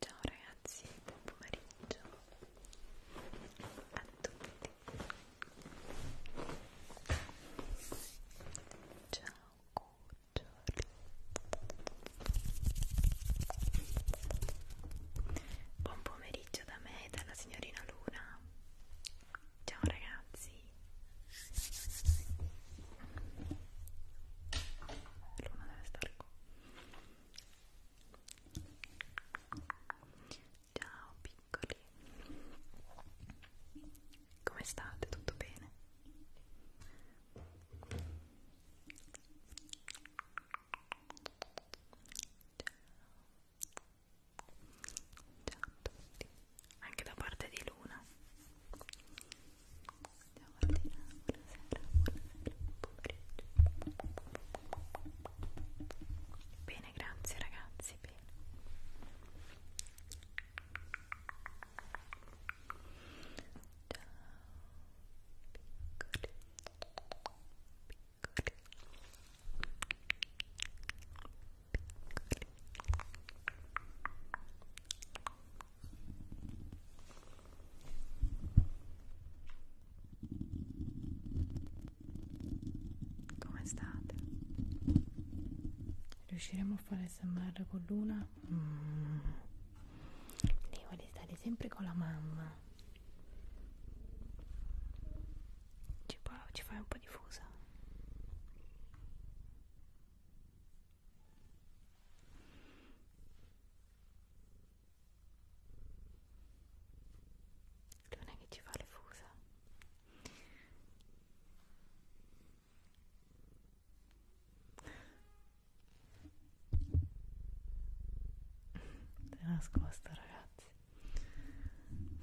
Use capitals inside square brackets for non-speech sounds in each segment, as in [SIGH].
Ciao ragazzi, buon pomeriggio a tutti. Ciao cuccioli. Buon pomeriggio da me e dalla signorina Luna. Ciao ragazzi. Luna deve stare qua. Ciao piccoli. Come state? Tutto bene? Ciao. Ciao a tutti. Anche da parte di Luna. Stiamo ordinando, buonasera, buonasera, buon pomeriggio. Bene, grazie ragazzi, bene. Ciao, piccoli, piccoli, piccoli. Come state? Riusciremo a fare SMR con Luna? Mm. Lei vuole stare sempre con la mamma. Ci, ci fai un po' di fusa? non è che ci fa le fusa è nascosto ragazzi piccoli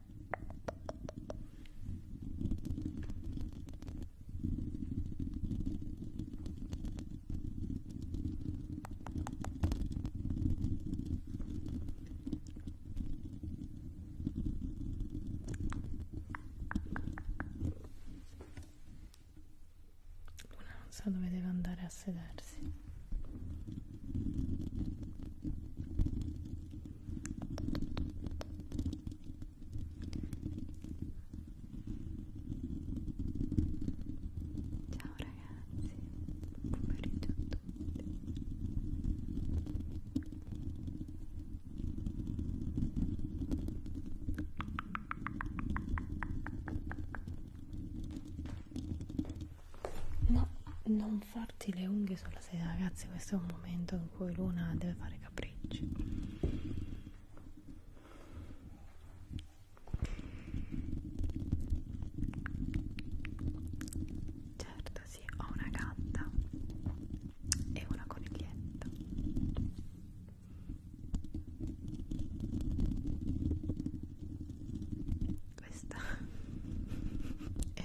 Una non sa dove deve andare a sedersi. Ciao ragazzi, buon pomeriggio a tutti. No, non non farti le unghie sulla sedia ragazzi questo è un momento in cui Luna deve fare capricci certo sì ho una gatta e una coniglietta questa [LAUGHS] è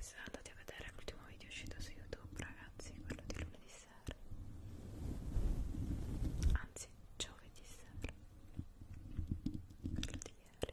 siete andati a vedere l'ultimo video uscito su youtube ragazzi quello di lunedì sera anzi giovedì sera quello di ieri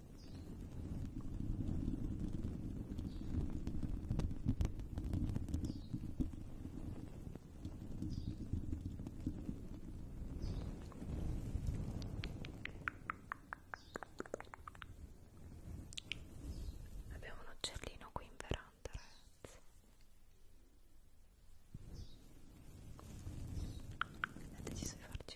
Abbiamo un uccellino qui in veranda, ragazzi. È deciso di farci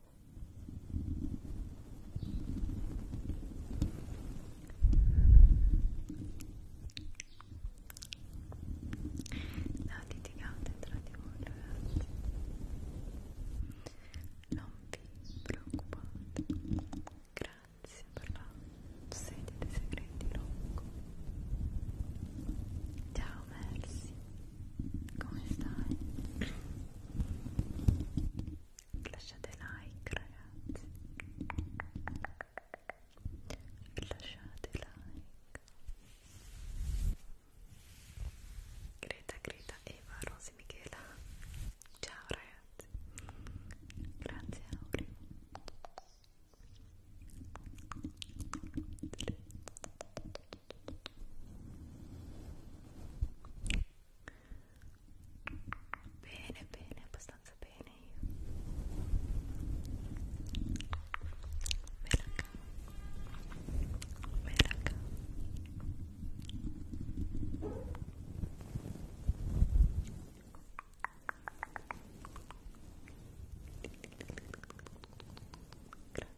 No, litigate tra di voi ragazzi Non vi preoccupate Grazie per la sedia dei segreti Rocco Ciao, merci come stai? lasciate like ragazzi lasciate like Greta, Greta, Eva, Rosi, Michela ciao ragazzi grazie Aureo Bene, bene, abbastanza bene io. Me la cavo. Me la cavo. Grazie.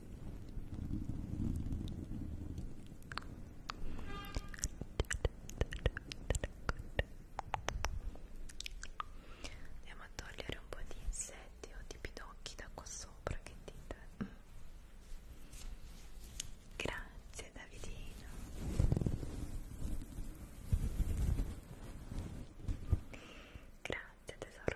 Andiamo a togliere un po' di insetti o di pidocchi da qua sopra, che dite? Mm. Grazie Davidino. Grazie tesoro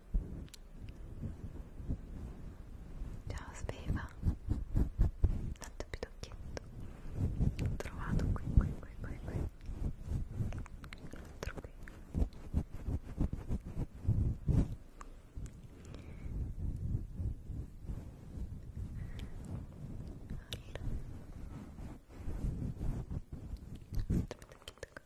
Ciao Sveva, tanto pidocchietto, l'ho trovato qui, qui, qui, qui, qui, l'altro qui. Allora. Tanto pidocchietto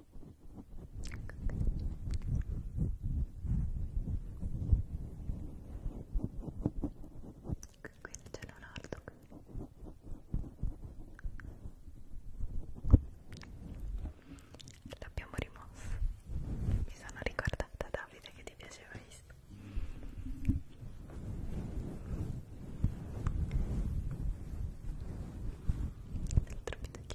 quindi c'è un altro qui. l'abbiamo rimosso mi sono ricordata Davide che ti piaceva questo l'altro video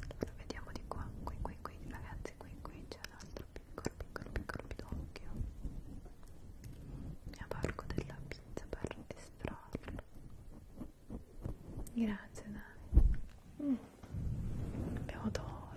Allora, vediamo di qua, qui, qui, qui, ragazzi, qui, qui c'è l'altro piccolo, piccolo, piccolo pidocchio. Mi avvalgo della pizza per estrarlo. Grazie, dai. Mm. Abbiamo tolto.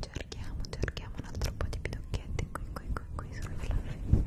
Cerchiamo, cerchiamo un altro po' di pidocchietti qui, qui, qui, qui sul fluffy.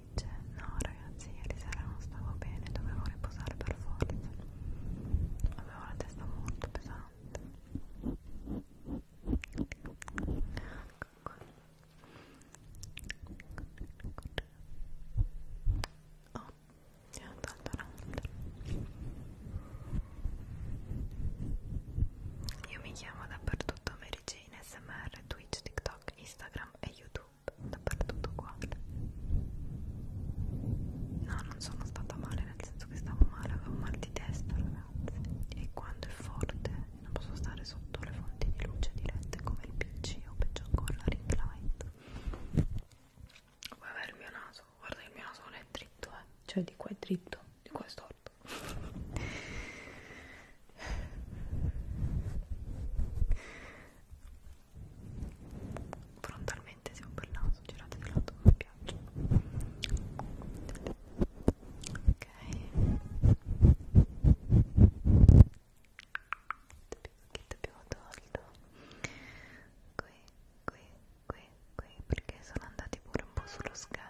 dice cioè, no ragazzi ieri sera non stavo bene dovevo riposare per forza avevo la testa molto pesante oh è andato a io mi chiamo dappertutto Mary Jane, SMR, Twitch, TikTok, Instagram e YouTube dappertutto uguale no non sono stata male nel senso che stavo male avevo mal di testa ragazzi e quando è forte non posso stare sotto le fonti di luce dirette come il pc o peggio ancora la ring light guarda il mio naso guarda il mio naso non è dritto eh cioè di qua è dritto di qua è storto frontalmente siamo per naso, girate di lato come piace ok ti abbiamo tolto qui, qui, qui, qui perché sono andati pure un po' sullo schermo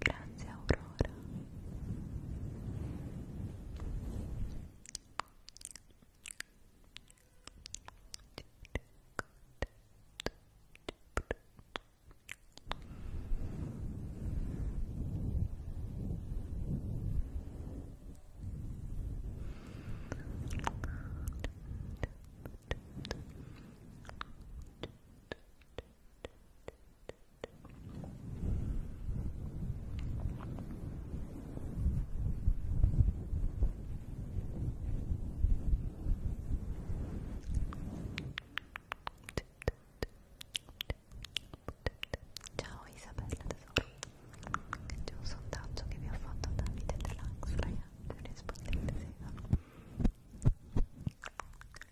Grazie Aurora. Grazie Ciao Isabella tesoro C'è un sondaggio che vi ho fatto da Vita Relax ragazzi Rispondete se no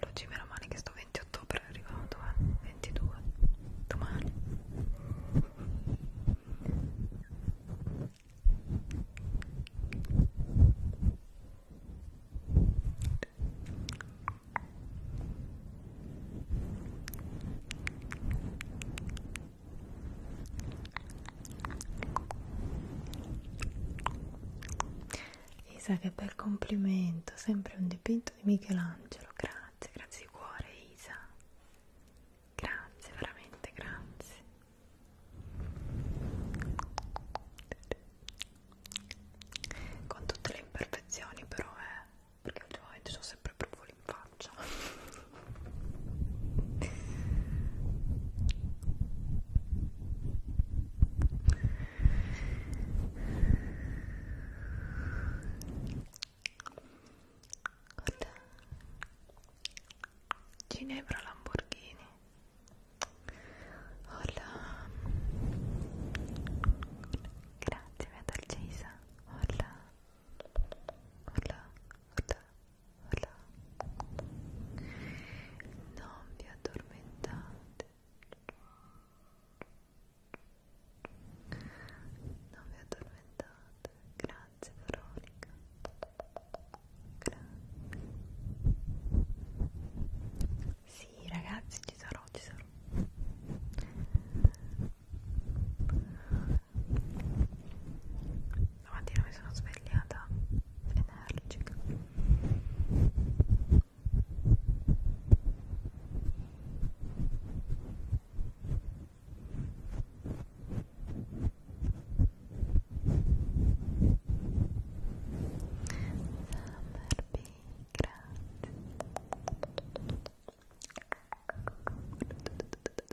L'oggi meno male che sto 20 ottobre è arrivato, eh? 22, domani. Isa che bel complimento, sempre un dipinto di Michelangelo, grazie, grazie di cuore Isa, grazie, veramente grazie. Con tutte le imperfezioni però, eh, perché ultimamente sono sempre proprio in faccia Guarda. Ginevra Lamborghini Hola Grazie Metal Jason Hola Hola Hola sola non vi addormentate non vi addormentate grazie Veronica grazie sì ragazzi ci sarò ci sarò la mattina mi sono svegliata energica Summer B, grazie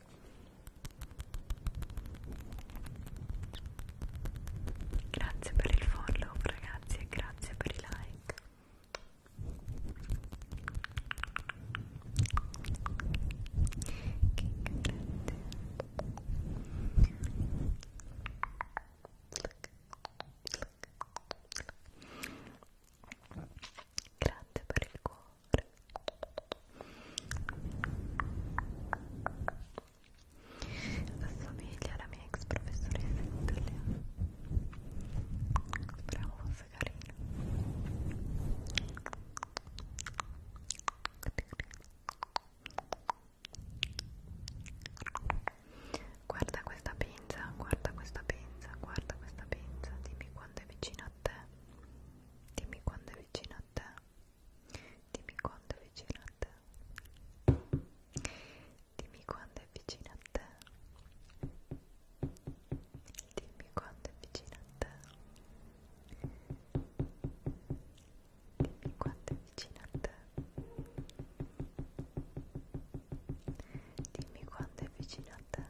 Grazie per il follow ragazzi e grazie per i like. Che grande. Grazie per il cuore. Assomiglia alla mia ex professoressa in italiano. Speriamo fosse carina. Guarda questa pinza, guarda questa pinza, guarda questa pinza, dimmi quando è vicino a te, dimmi quando è vicino a te, Dimmi quando è vicino a te. Dimmi quando è vicino a te. Dimmi quando è vicino a te. Dimmi quando è vicino a te. Dimmi quando è vicino a te.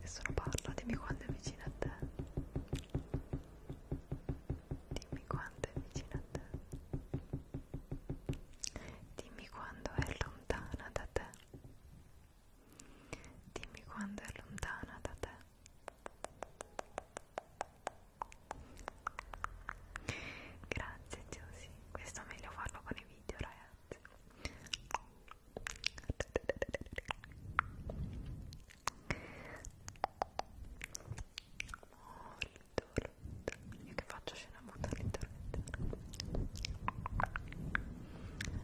Nessuno parla, dimmi quanto è vicino a te. Dimmi quanto è vicino a te. Dimmi quando è lontana da te. Dimmi quando è lontana da te. Grazie Giusy, questo è meglio farlo con i video ragazzi. Io che faccio scena muta all'interno.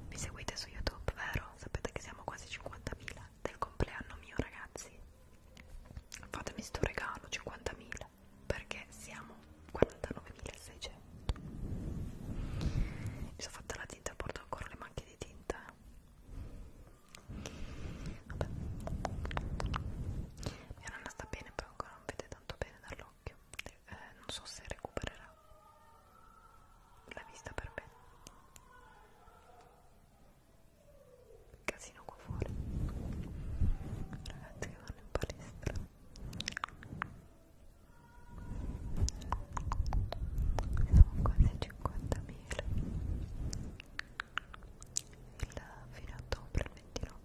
Mi seguite su YouTube, vero? Sapete che siamo quasi 50.000 del compleanno mio, ragazzi. Fatemi sto regalo, 50.000, perché siamo 49.600. Mi sono fatta la tinta, porto ancora le macchie di tinta. Vabbè. Mia nonna sta bene, però ancora non vede tanto bene dall'occhio. Eh, non so se recupererà la vista per bene. Casino qua fuori. Ragazzi che vanno in palestra sono quasi 50.000 il fine ottobre il 29 Ciao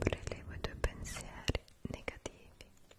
prelevo i tuoi pensieri negativi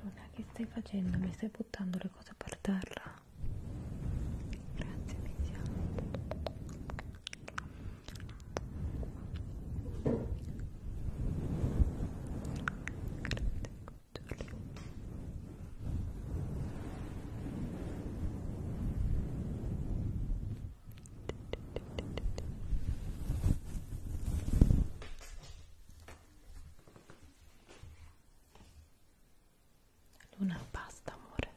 Luna che stai facendo? Mi stai buttando le cose per terra? Grazie Mizia Grazie Luna, basta amore.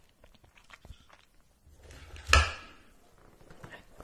Ecco.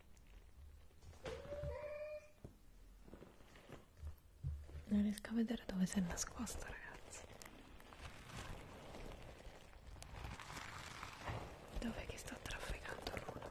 Non riesco a vedere dove si è nascosto, ragazzi. Dove che sto trafficando l'uno?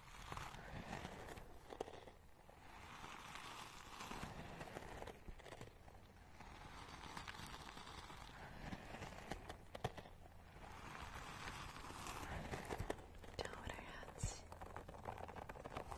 Down with our hands. Good.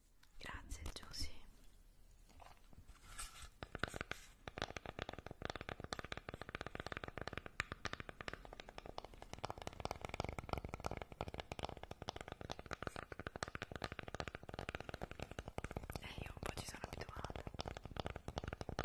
Grazie Giusy. E eh, io un po' ci sono abituata. Grazie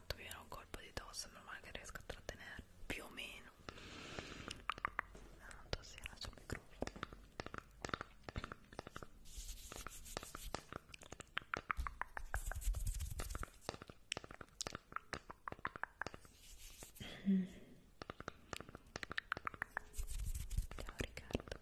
tanto mi viene un colpo di tosse, ma ormai che riesco a trattenere più o meno la tossina sul microfono Ciao Riccardo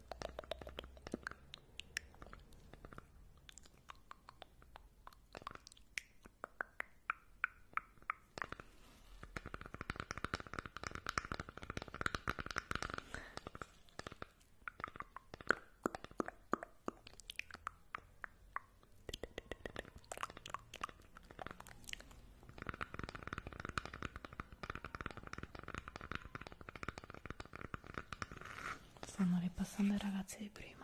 Stanno ripassando i ragazzi di prima.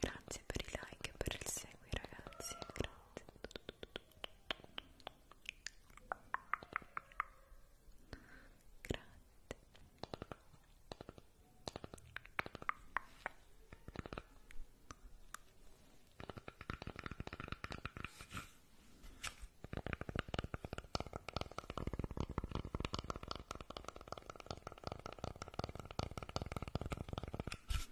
Grazie per i like e per il segui ragazzi, grazie. Grazie.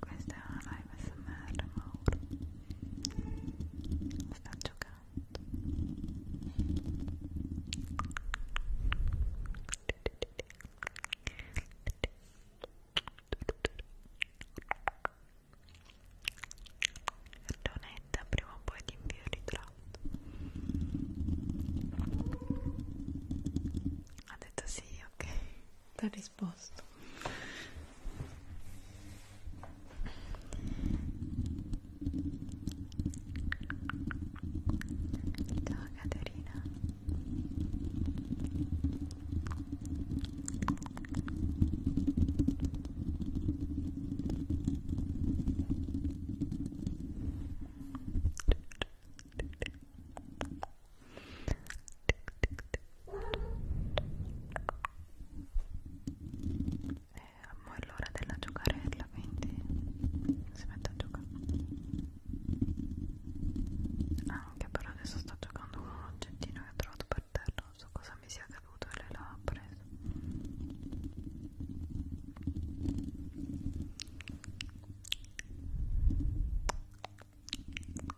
Questa è una live smr Mauro Sta giocando Donetta prima o poi ti invio il ritratto ha detto sì, ok T'ha risposto. Ciao Caterina. Eh, è l'ora della giocarella quindi si mette a giocare ah, anche però adesso sto giocando con un oggettino che ho trovato per terra non so cosa mi sia caduto e lei l'ha preso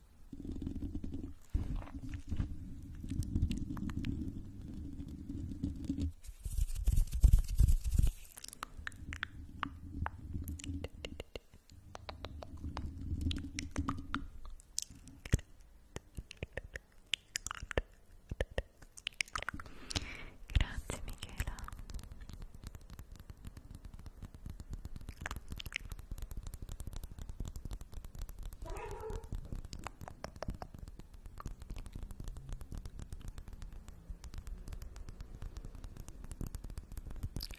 Grazie Michela.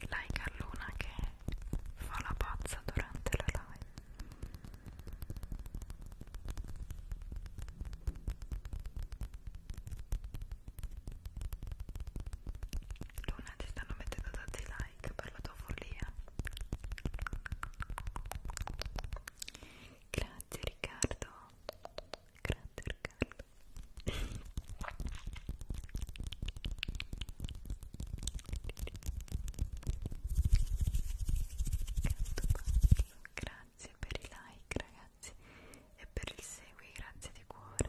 Lei Carluna che fa la pazza durante la live. Luna ti stanno mettendo tanti like like per la tua follia grazie Riccardo grazie Riccardo grazie per i like ragazzi e per il segui grazie di cuore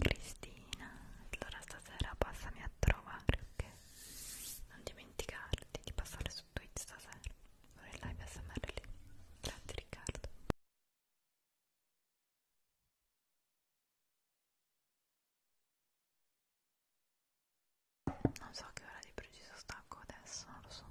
Cristina, allora stasera passami a trovare, ok? Non dimenticarti di passare su Twitch stasera. Ora il live SMR lì. Grazie Riccardo. Non so che ora di preciso stacco adesso, non lo so.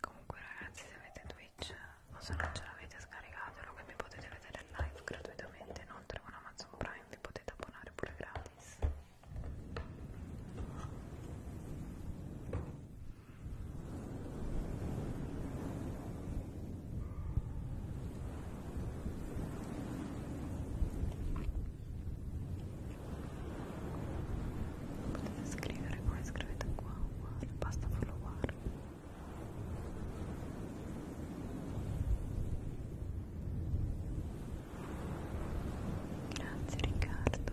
Comunque ragazzi se avete Twitch o se non ce l'avete scaricatelo che mi potete vedere live gratuitamente inoltre con Amazon Prime vi potete abbonare pure gratis potete scrivere come scrivete qua uguale basta followare grazie Riccardo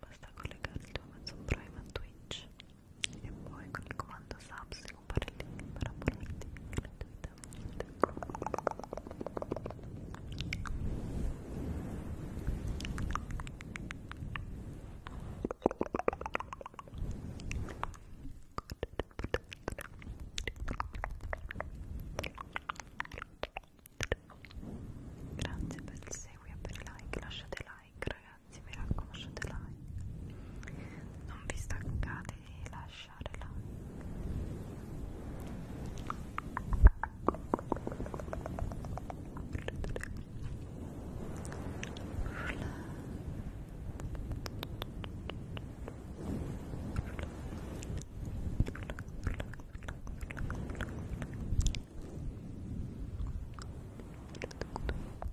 Basta collegare il tuo Amazon Prime a Twitch e poi con il comando subs si compare il link per abbonarti gratuitamente Grazie per il seguito e per il like, lasciate like ragazzi ragazzi mi raccomando like non vi stancate di lasciare like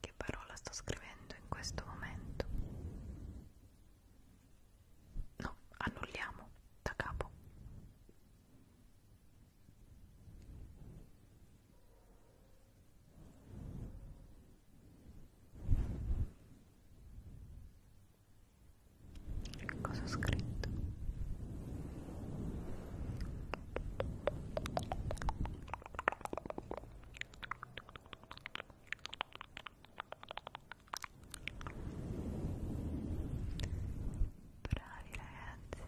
che parola sto scrivendo in questo momento no annulliamo da capo cosa ho scritto Bravi ragazzi,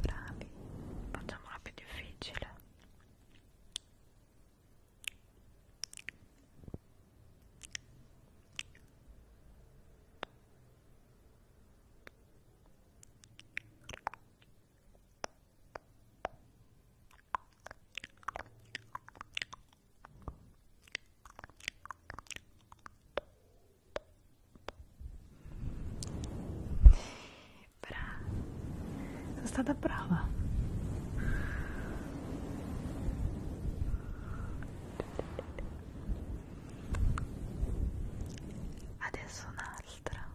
bravi, facciamola più difficile. Bravi, Brava, sono stata brava. Adesso un'altra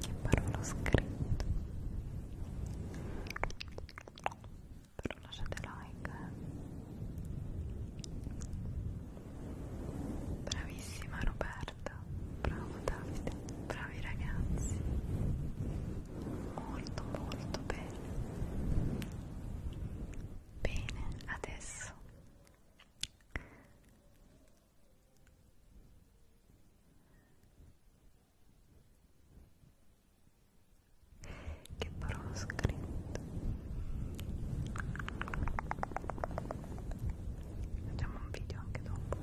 che parola scritta però lasciate like eh. bravissima Roberta bravo Davide, bravi ragazzi, molto molto bene. Bene, adesso che parola ho scritto facciamo un video anche dopo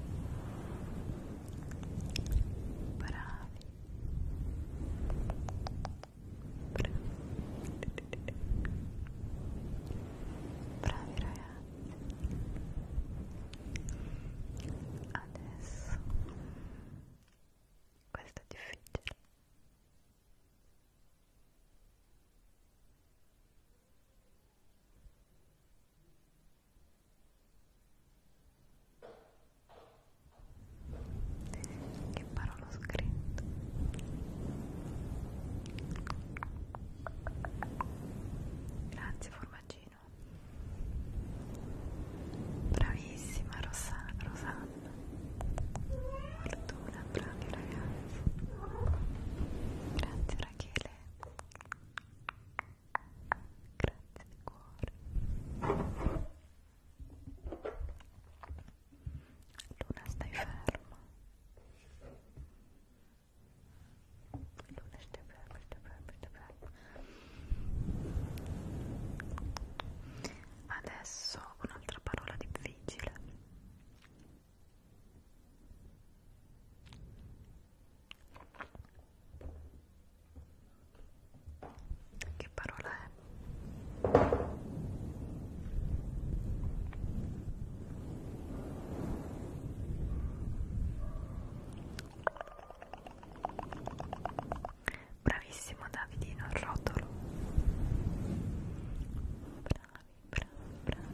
bravi bravi bravi ragazzi adesso questo è difficile che parola ho scritto? Grazie formaggino. Bravissima Rosa, Rosanna. Fortuna, bravi ragazzi. Grazie Rachele. Grazie di cuore. Luna, stai ferma. Luna, stai ferma, stai ferma, stai ferma. Adesso un'altra parola difficile. Che parola è? Bravissimo Davidino il rotolo. Bravi, bravi, bravi.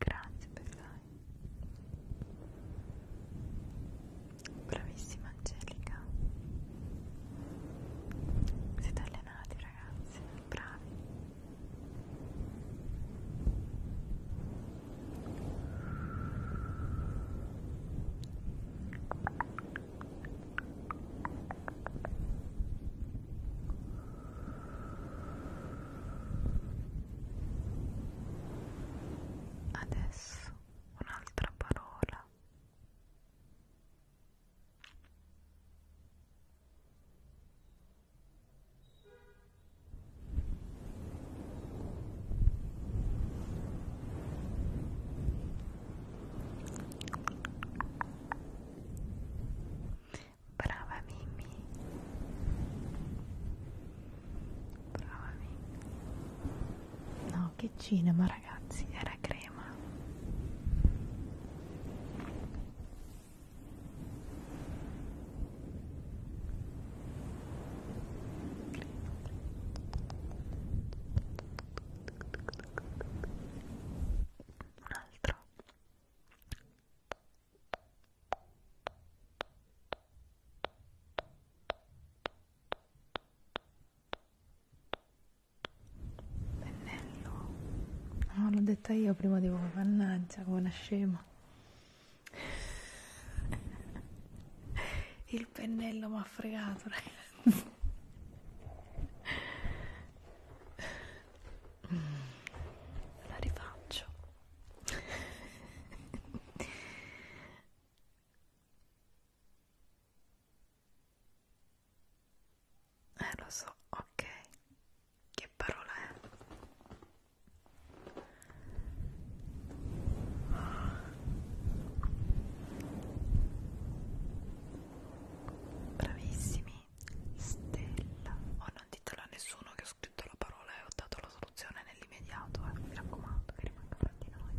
Grazie per l'ai. Bravissima Angelica. Siete allenati ragazzi, bravi. Adesso un'altra parola. Brava Mimmi. Brava Mimmi. No, che cinema ragazzi, era crema. Un altro. Pennello. No, ah, l'ho detta io prima di voi, mannaggia, come una scema. [LAUGHS] Il pennello mi ha fregato, ragazzi. [LAUGHS] La rifaccio. [LAUGHS] eh lo so, ok, che parola è? Bravissimi, stella, o oh, non ditelo a nessuno che ho scritto la parola e ho dato la soluzione nell'immediato, eh, mi raccomando che rimanga fra di noi.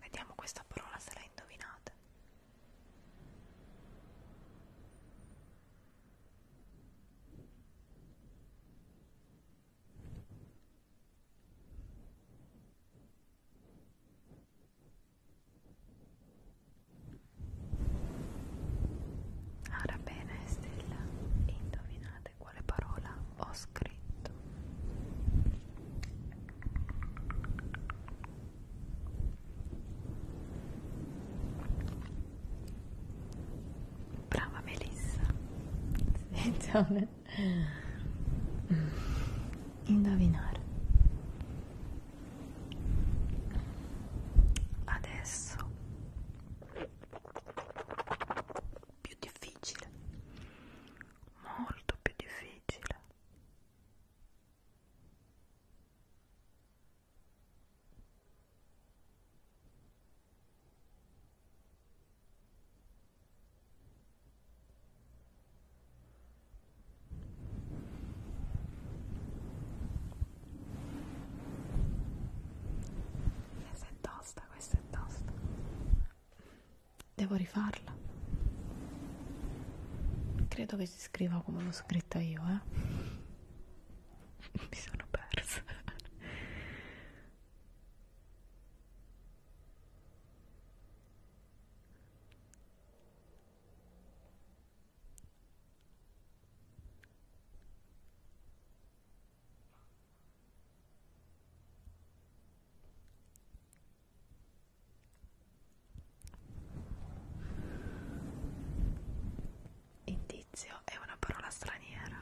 Vediamo questa parola se la indovinate. Ora bene Stella, indovinate quale parola ho scritto. Brava Melissa. Attenzione. Indovinare. Adesso più difficile. Molto più difficile. Questa è tosta, questa è tosta. Devo rifarla. Credo che si scriva come l'ho scritta io, eh? [LAUGHS] Mi sono persa. Indizio è una parola straniera.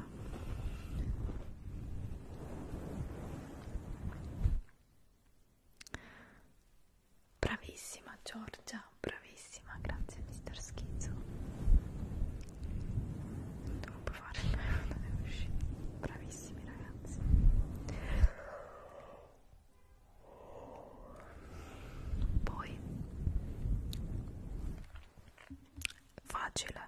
Bravissima Giorgia, bravissima, grazie mister Schizzo. Devo fare il mio bravissimi ragazzi. Poi facile.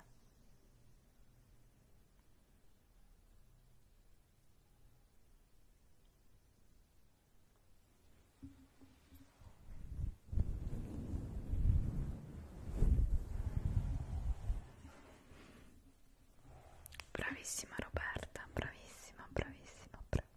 Bravissima Roberta, bravissima, bravissima, bravissima.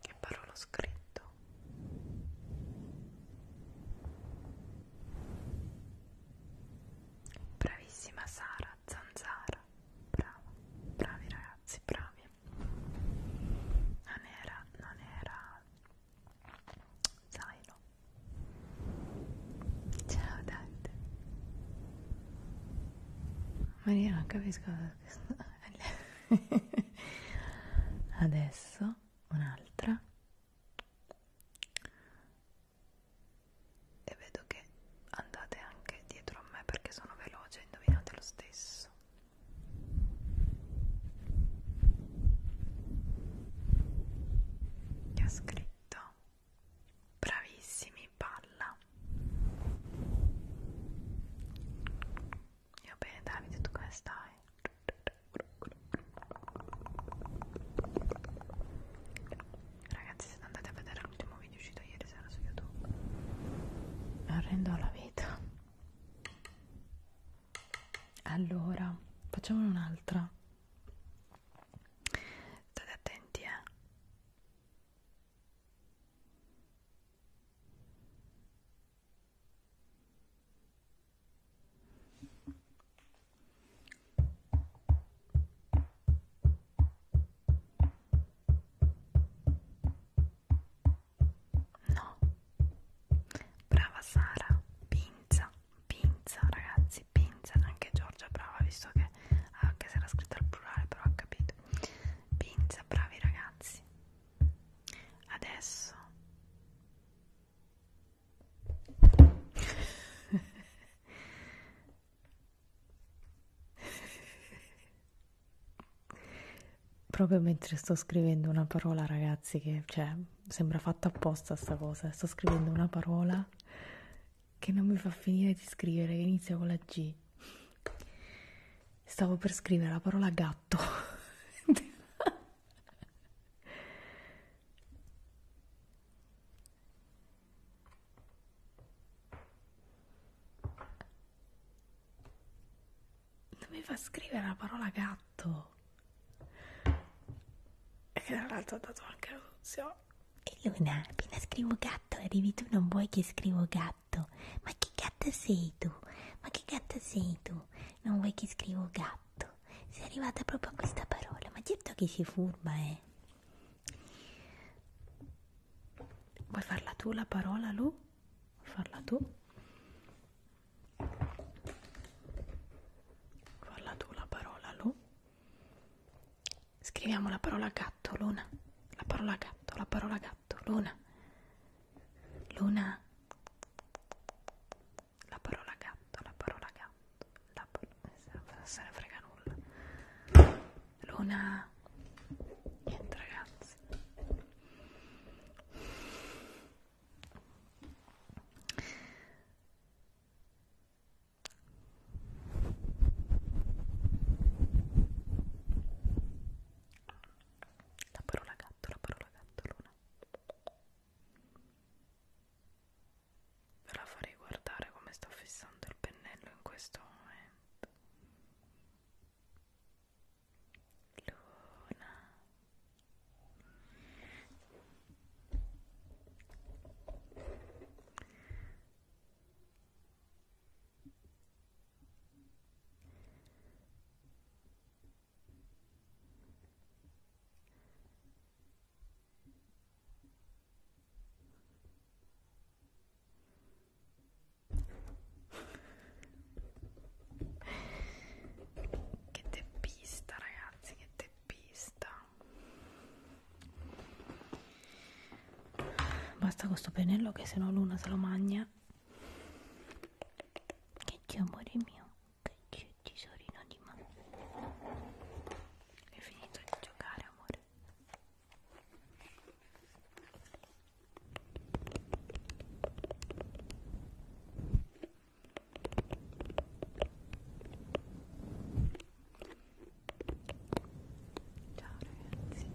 che parola ho scritto bravissima Sara Zanzara brava bravi ragazzi bravi non era non era zaino ciao Dante ma io non capisco [LAUGHS] adesso un'altra e vedo che andate anche dietro a me perché sono veloce, indovinate lo stesso. Che ha scritto? Bravissimi, palla. Io bene Davide, tu come stai? Ragazzi, siete andati a vedere l'ultimo video uscito ieri sera su YouTube. Arrendo la vita. Allora, facciamone un'altra. State attenti, eh. No, brava Sara, pinza, pinza ragazzi, pinza, anche Giorgia brava visto che anche se era scritta al plurale però ha capito, pinza, bravi ragazzi. Adesso [LAUGHS] Proprio mentre sto scrivendo una parola, ragazzi, che cioè, sembra fatta apposta sta cosa. Sto scrivendo una parola che non mi fa finire di scrivere, che inizia con la G. Stavo per scrivere la parola gatto. [LAUGHS] Doveva scrivere la parola gatto. E tra l'altro ha dato anche la soluzione. E Luna, appena scrivo gatto, arrivi tu, non vuoi che scrivo gatto. Ma che gatta sei tu? Ma che gatta sei tu? Non vuoi che scrivo gatto? esatto, sei arrivata proprio a questa parola, ma certo che sei furba, eh. Vuoi farla tu la parola, Lu? Vuoi farla tu? Vuoi farla tu la parola, Lu? Scriviamo la parola gatto, Luna. La parola gatto, la parola gatto, Luna. Luna la parola gatto, la parola gatto, la parola... Eh, se ne frega nulla. Luna... niente ragazzi. La parola gatto, la parola gatto, Luna. Ve la farei guardare come sto fissando il pennello in questo momento. Luna che teppista ragazzi che teppista basta questo pennello che se no l'una se lo magna che c'è amore mio che c'è dolce tesorino di mamma. È finito di giocare, amore. Ciao ragazzi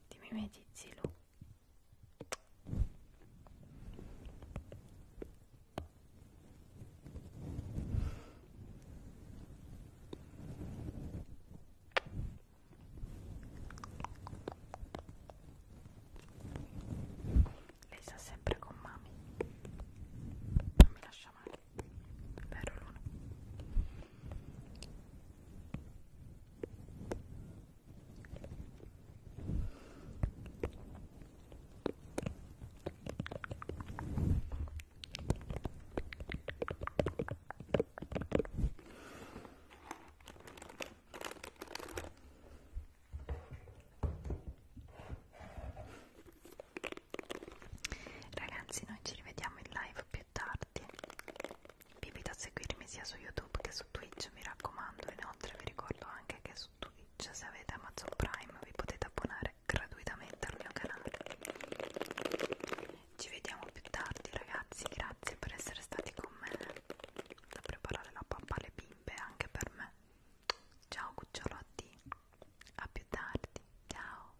di Mimetizzilo lei sta sempre con mami non mi lascia male vero Luna Ragazzi, noi ci rivediamo in live più tardi vi invito a seguirmi sia su YouTube che su Twitch, mi raccomando. Inoltre vi ricordo anche che su Twitch, se avete Amazon Prime, vi potete abbonare gratuitamente al mio canale. Ci vediamo più tardi ragazzi, grazie per essere stati con me. Da preparare la pappa alle bimbe anche per me. Ciao cucciolotti, a più tardi, ciao.